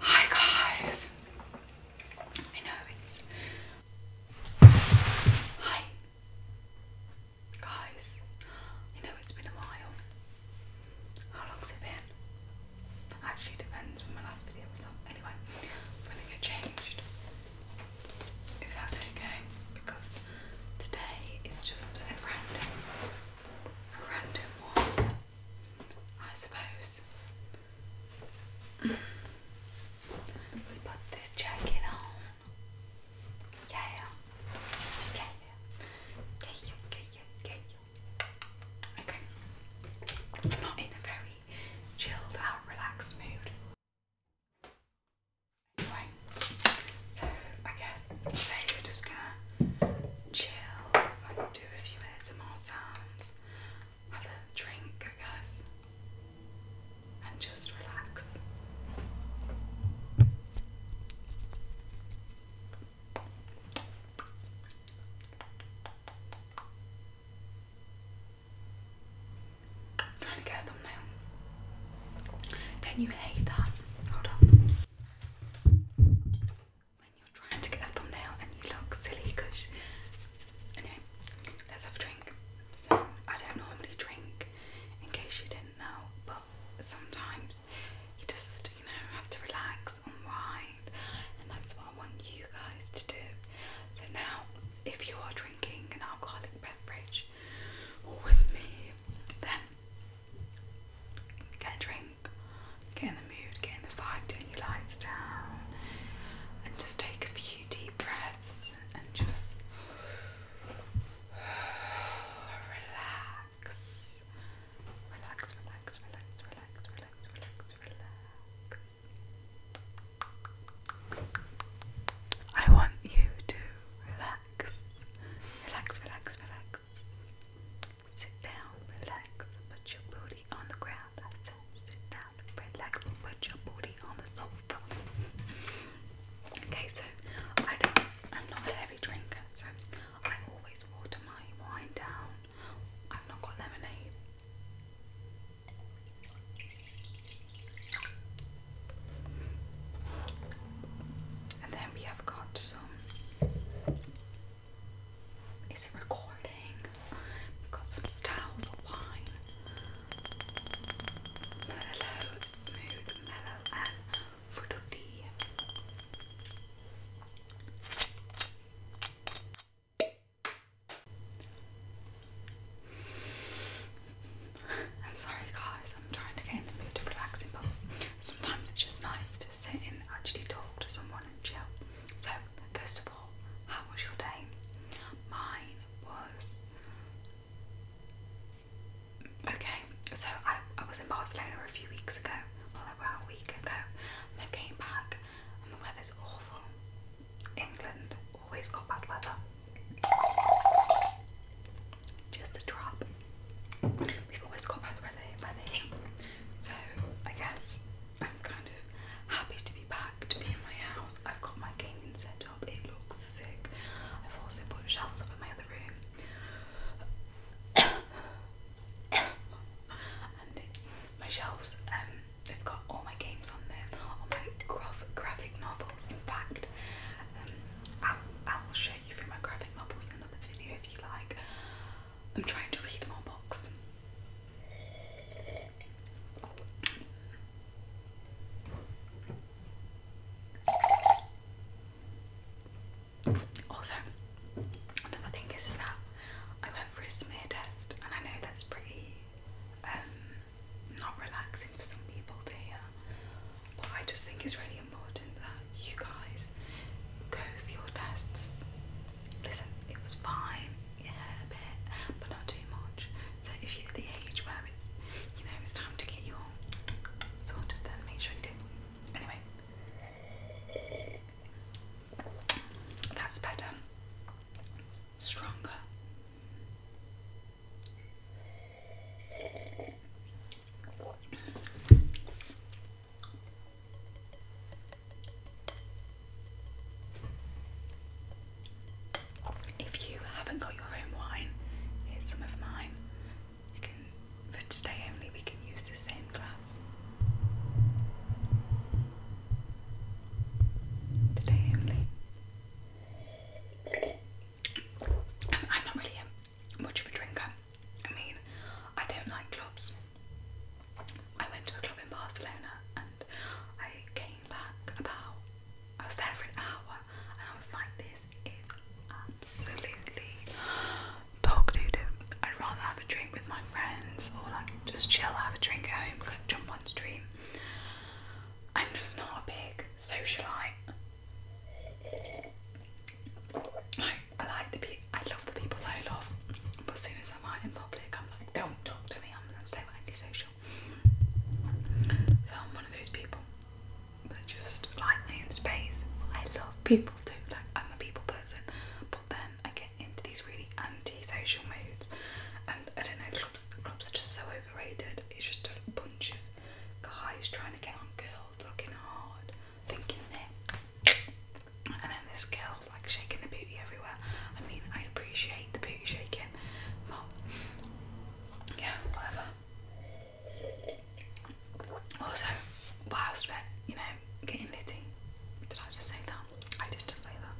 Hi guys. I know it's Hi guys. I know it's been a while. How long's it been? Actually depends when my last video was Anyway, I'm gonna get changed. If that's okay, because today is just a random random one. I suppose. we put this jacket on. Yeah. Okay. I'm not in a very chilled out, relaxed mood. Anyway, so I guess today we're just gonna chill, do a few ASMR sounds, have a drink, I guess, and just relax. trying to get a thumbnail. Don't you hate that? Hold on when you're trying to get a thumbnail and you look silly because anyway let's have a drink so I don't normally drink in case you didn't know but sometimes you just you know have to relax and unwind and that's what I want you guys to do so now if you are drinking an alcoholic beverage or with me then get a drink get in the mood, get in the vibe, turn your lights down, and just take a few deep breaths and just relax. Relax, relax, relax, relax, relax, relax, I want you to relax. Relax, relax, relax, Sit down, relax, put your booty on the ground. I said, sit down, relax, put your booty on the sofa. okay, so I don't, I'm not a heavy drinker, so I always water my wine down. I've not got lemonade. And then we have got some is it recording? got some styles of wine. Mellow, smooth, mellow, and fruity. I'm sorry guys, I'm trying to get in the mood of relaxing Sometimes it's just nice to sit and actually talk to someone and chill. So, first of all, how was your day? Mine was okay. So, I, I was in Barcelona a few weeks ago, well, about a week ago, I came back, and the weather's awful. England always got bad weather. Just a drop we've always got better by the So I guess I'm kind of happy to be back, to be in my house. I've got my gaming set up, it looks sick. I've also put shelves up in my other room. and my shelves, um, they've got all my games on them, all my graph graphic novels. In fact, um, I'll, I'll show you through my graphic novels in another video if you like. I'm trying to read more books. Also, another thing is, that I went for a smear test, and I know that's pretty um, not relaxing for some people to hear, but I just think it's really important that you guys go for your tests. Listen, it was fine, it hurt a bit, but not too much. So if you're at the age where it's, you know, it's time to get your sorted, then make sure you do. Anyway, that's better, stronger. If you haven't got your own wine, here's some of mine. You can, for today only, we can use the same glass. Today only. I'm, not really much of a drinker. I mean, I don't like clubs. I went to a club in Barcelona and I came back about, I was there for an hour and I was like, this is absolutely dog doo doo. I'd rather have a drink with my friends or like just chill, have a drink at home, jump on stream. I'm just not a big socialite. I, like the people, I love the people that I love, but as soon as I'm out in public, I'm like, don't talk to me, I'm not so antisocial. So I'm one of those people that just like my own space. I love people too, like I'm a people person, but then I get into these really anti-social moods, and I don't know, clubs, clubs are just so overrated. It's just a bunch of guys trying to get on girls, looking hard, thinking that. And then this girl's like shaking the booty everywhere. I mean, I appreciate the booty shaking, but yeah, whatever. Also, whilst we're, you know, getting litty, did I just say that? I did just say that.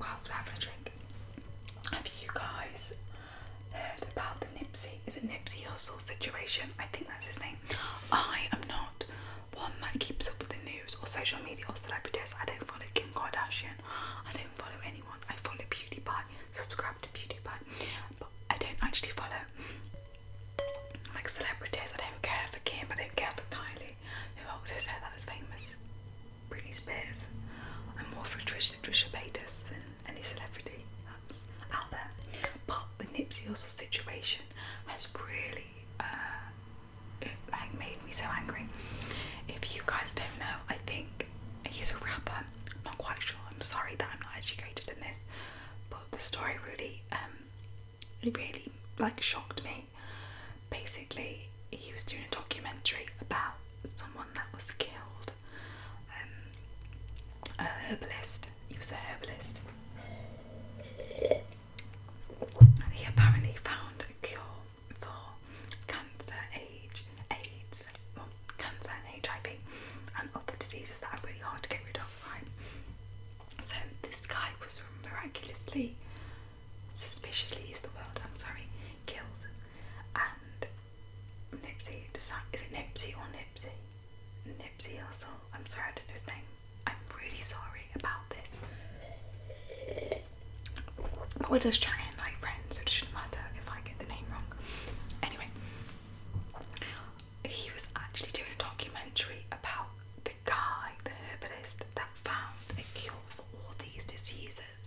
Whilst we're having a drink, have you guys heard about the Nipsey? Is it Nipsey Hussle situation? I think that's his name. I am not one that keeps up with the news or social media or celebrities. I don't follow Kim Kardashian. I don't follow anyone. I follow PewDiePie. Subscribe to PewDiePie. But I don't actually follow like celebrities. I don't care for Kim. I don't care for Kylie. Who holds his there that is famous? Britney Spears. I'm more for Trisha, Trisha Paytas than any celebrity out there. But the Nipsey Hussle situation has really uh, like made me so angry. If you guys don't know, I think he's a rapper. I'm not quite sure. I'm sorry that I'm not educated in this, but the story really, um, it really like shocked me. Basically, he was doing a documentary about someone that was killed um, a herbalist. He was a herbalist. And he apparently found a cure for cancer, AIDS, well, cancer and HIV, and other diseases that are really hard to get rid of, right? So this guy was miraculously, suspiciously is the word. I'm sorry, killed, and Nipsey Is it Nipsey or Nipsey? Nipsey Hussle. I'm sorry I don't know his name. I'm really sorry about this. But we're just chatting like friends, so it shouldn't matter if I get the name wrong. Anyway, he was actually doing a documentary about the guy, the herbalist, that found a cure for all these diseases,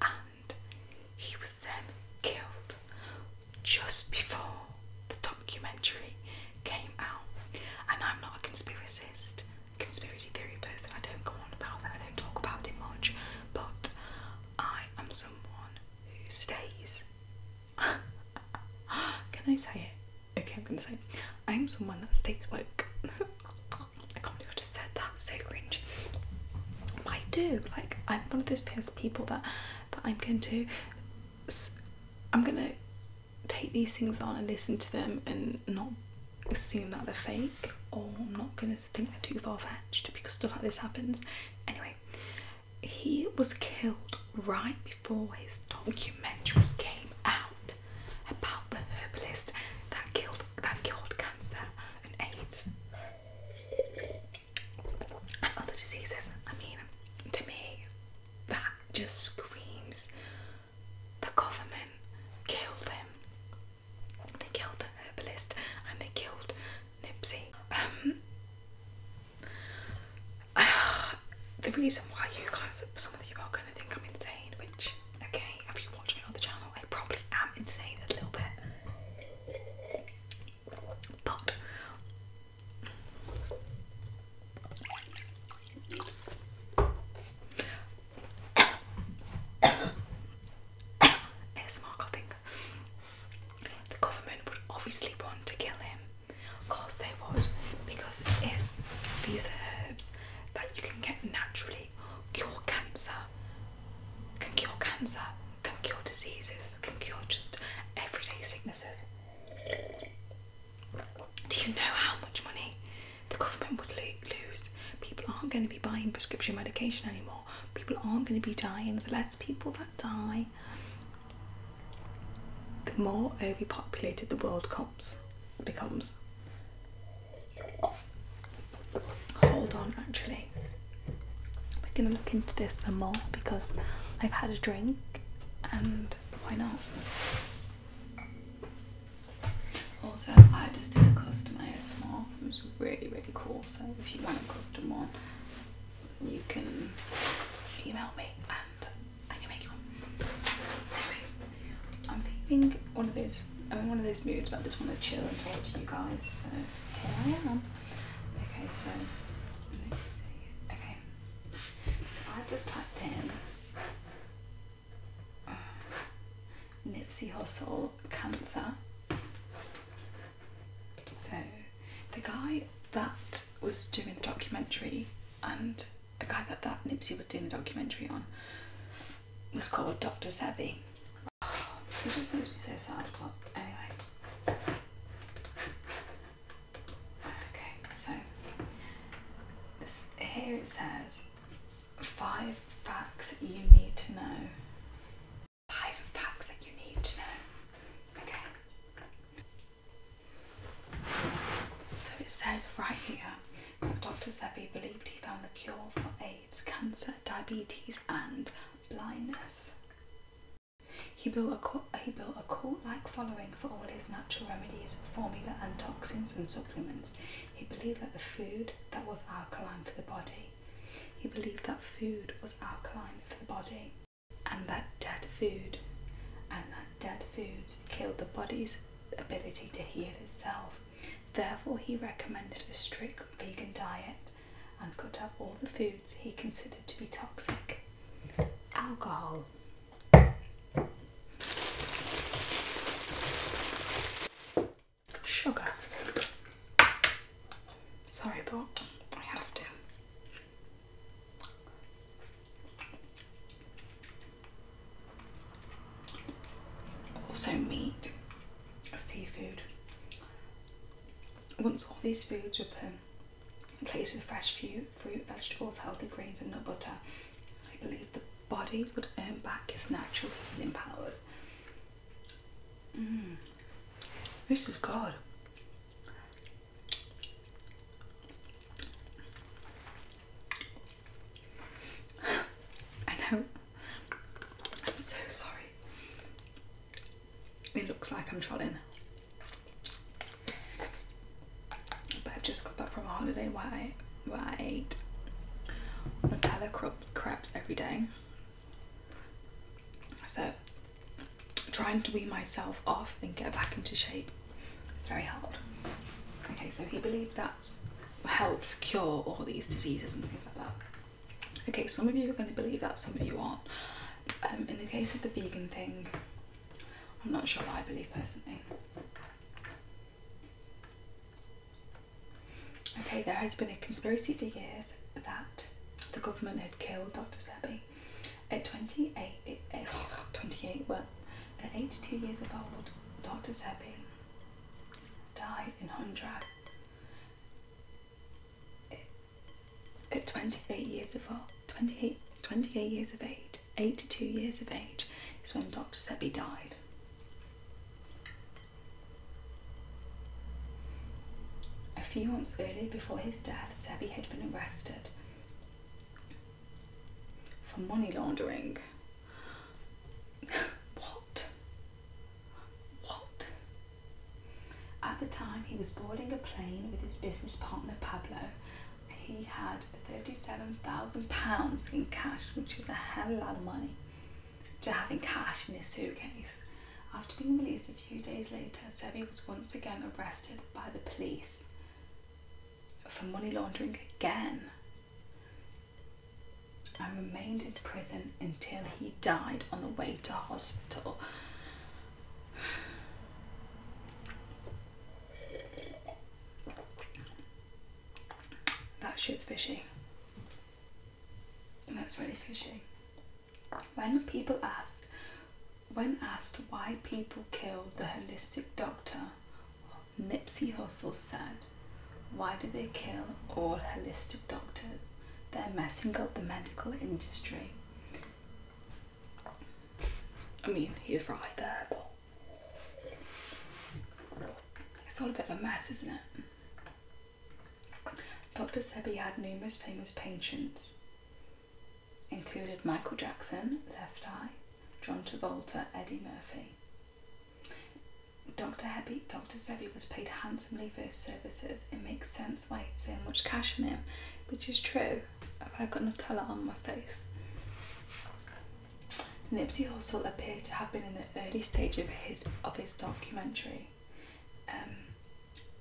and he was then killed just before the documentary came out. And I'm not a conspiracist, conspiracy theory person, I don't go on about it, I don't talk about it much, but I am someone who stays. Can I say it? Okay, I'm gonna say it. I'm someone that stays woke. I can't believe I just said that, so cringe. I do, like I'm one of those people that that I'm going to I'm gonna take these things on and listen to them and not assume that they're fake or I'm not gonna think they're too far fetched because stuff like this happens. Anyway, he was killed right before his documentary came out about the herbalist that killed that cured cancer and AIDS other diseases. I mean, to me, that just screams the government killed them. They killed the herbalist and they killed Nipsey. Um, the reason why you guys, some of you are going to think I'm insane, which, okay, if you watch me on the channel, I probably am insane a little bit. But ASMR coughing. The government would obviously want to kill him. Of course they would, because if these herbs that you can get naturally cure cancer, can cure cancer, can cure diseases, can cure just everyday sicknesses. Do you know how much money the government would lose? People aren't going to be buying prescription medication anymore. People aren't going to be dying. The less people that die, the more overpopulated the world comes, becomes. Hold on, actually we're gonna look into this some more because I've had a drink and why not? Also, I just did a custom ASMR, it was really, really cool. So, if you want a custom one, you can email me and I can make you one. Anyway, I'm feeling one of those. I'm in one of those moods, but I just want to chill and talk to you guys. So here I am. Okay, so Okay, so I've just typed in uh, Nipsey Hussle cancer. So the guy that was doing the documentary and the guy that that Nipsey was doing the documentary on was called Dr. Sebi. It just makes me so sad, but anyway. Okay, so this here it says five facts that you need to know. Five facts that you need to know. Okay. So it says right here Dr. Sebi believed he found the cure for AIDS, cancer, diabetes, and blindness. He built a cult, he built a cult-like following for all his natural remedies, formula, and toxins and supplements. He believed that the food that was alkaline for the body. He believed that food was alkaline for the body, and that dead food, and that dead foods killed the body's ability to heal itself. Therefore, he recommended a strict vegan diet and cut out all the foods he considered to be toxic. Alcohol. Sugar. Sorry, but I have to. Also, meat, seafood. Once all these foods are were Replace with fresh fruit, vegetables, healthy grains, and not butter. I believe the body would earn back its natural healing powers. Mm. This is good. I know. I'm so sorry. It looks like I'm trolling. But I just got back from a holiday where I, where I ate Nutella crepes every day. So trying to wean myself off and get back into shape its very hard. Okay, so he believed that helps cure all these diseases and things like that. Okay, some of you are going to believe that, some of you aren't. Um, in the case of the vegan thing, I'm not sure what I believe personally. Okay, there has been a conspiracy for years that the government had killed Dr. Sebi. At 28, well, at 82 years of old, Dr. Sebi died in Hundra at 28 years of 28, 28 years of age, 82 years of age, is when Dr. Sebi died. A few months earlier, before his death, Sebi had been arrested for money laundering. what? What? At the time, he was boarding a plane with his business partner Pablo. He had £37,000 in cash, which is a hell of a lot of money, to have in cash in his suitcase. After being released a few days later, Sebi was once again arrested by the police for money laundering again and remained in prison until he died on the way to hospital. That shit's fishy. That's really fishy. When people asked, when asked why people killed the holistic doctor, Nipsey Hussle said, why do they kill all holistic doctors? They're messing up the medical industry. I mean, he's right there, but it's all a bit of a mess, isn't it? Dr. Sebi had numerous famous patients, included Michael Jackson, Left Eye, John Travolta, Eddie Murphy. Dr. Dr. Sebi was paid handsomely for his services it makes sense why so much cash in him, which is true. Have I got Nutella on my face? Nipsey Hussle appeared to have been in the early stage of his of his documentary. Um,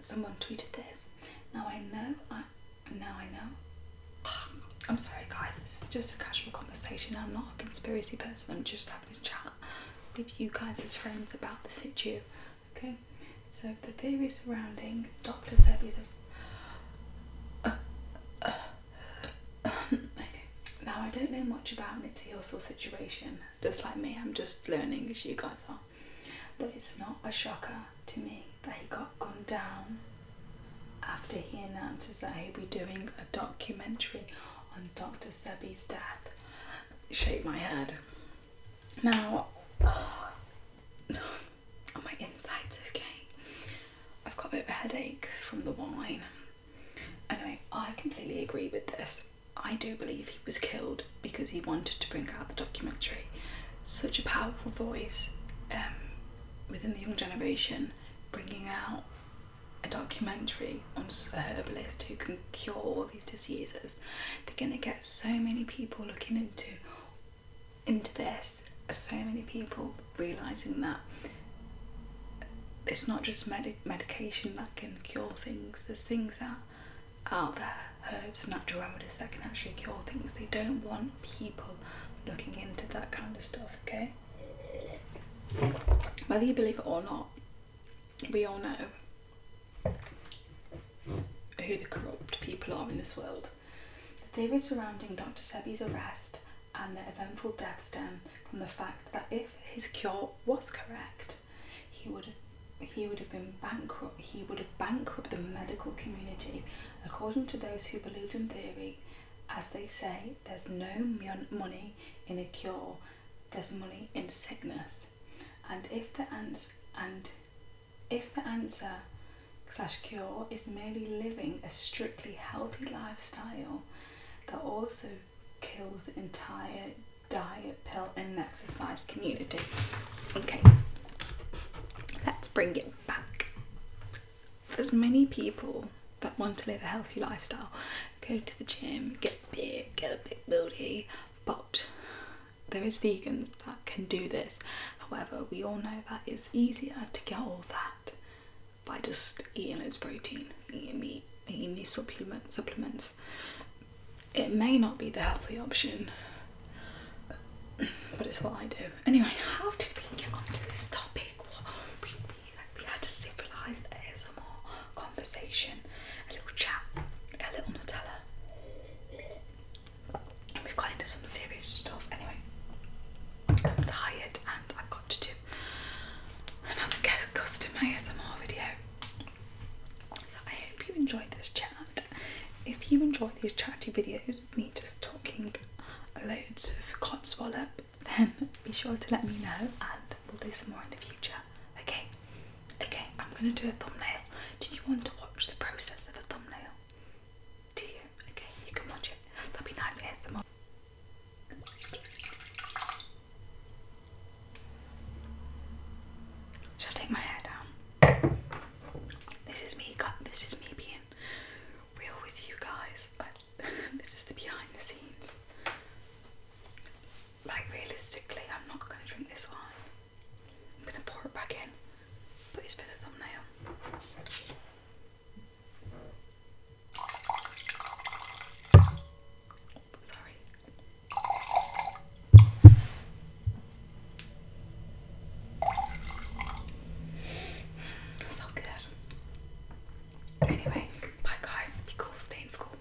someone tweeted this. Now I know. I now I know. I'm sorry, guys. This is just a casual conversation. I'm not a conspiracy person. I'm just having a chat with you guys as friends about the situ. Okay, so the theory surrounding Dr. Sebi's. Uh, uh, uh, now I don't know much about Nipsey Hussle's situation, just like me, I'm just learning as you guys are. But it's not a shocker to me that he got gunned down after he announces that he'll be doing a documentary on Dr. Sebi's death. Shake my head. Now, oh, my insides, okay, I've got a bit of a headache from the wine. Anyway, I completely agree with this. I do believe he was killed because he wanted to bring out the documentary. Such a powerful voice um, within the young generation, bringing out a documentary on a herbalist who can cure all these diseases they're gonna get so many people looking into into this. So many people realizing that it's not just medic medication that can cure things. There's things that out there, herbs, natural remedies that can actually cure things. They don't want people looking into that kind of stuff. Okay. Whether you believe it or not, we all know who the corrupt people are in this world. The theories surrounding Dr. Sebi's arrest and the eventful death stem from the fact that if his cure was correct, he would he would have been bankrupt he would have bankrupted the medical community. According to those who believed in theory, as they say, there's no money in a cure there's money in sickness. And if the ans and if the answer slash cure is merely living a strictly healthy lifestyle that also kills the entire diet, pill and exercise community. Okay. Let's bring it back. There's many people that want to live a healthy lifestyle, go to the gym, get big, get a bit booty, but there is vegans that can do this. However, we all know that it's easier to get all that by just eating its protein, eating meat, eating these supplement supplements. It may not be the healthy option, but it's what I do. Anyway, how did we get onto this topic? we had a civilised ASMR conversation, a little chat, a little Nutella. And we've got into some serious stuff. Anyway, I'm tired and I've got to do another guest custom ASMR video. So I hope you enjoyed this chat. If you enjoy these chatty videos, me just talking loads of codswallop, then be sure to let me know and We'll do some more in the future. Okay, okay, I'm gonna do a thumbnail. Do you want to watch the process of a thumbnail? Do you? Okay, you can watch it. that would be nice ASMR. Shall I take my hair down? This is me. This is me being real with you guys. this is the behind the scenes like realistically, I'm not going to drink this wine. I'm going to pour it back in, but it's for the thumbnail. Sorry. So good. Anyway, bye guys. Be cool. Stay in school.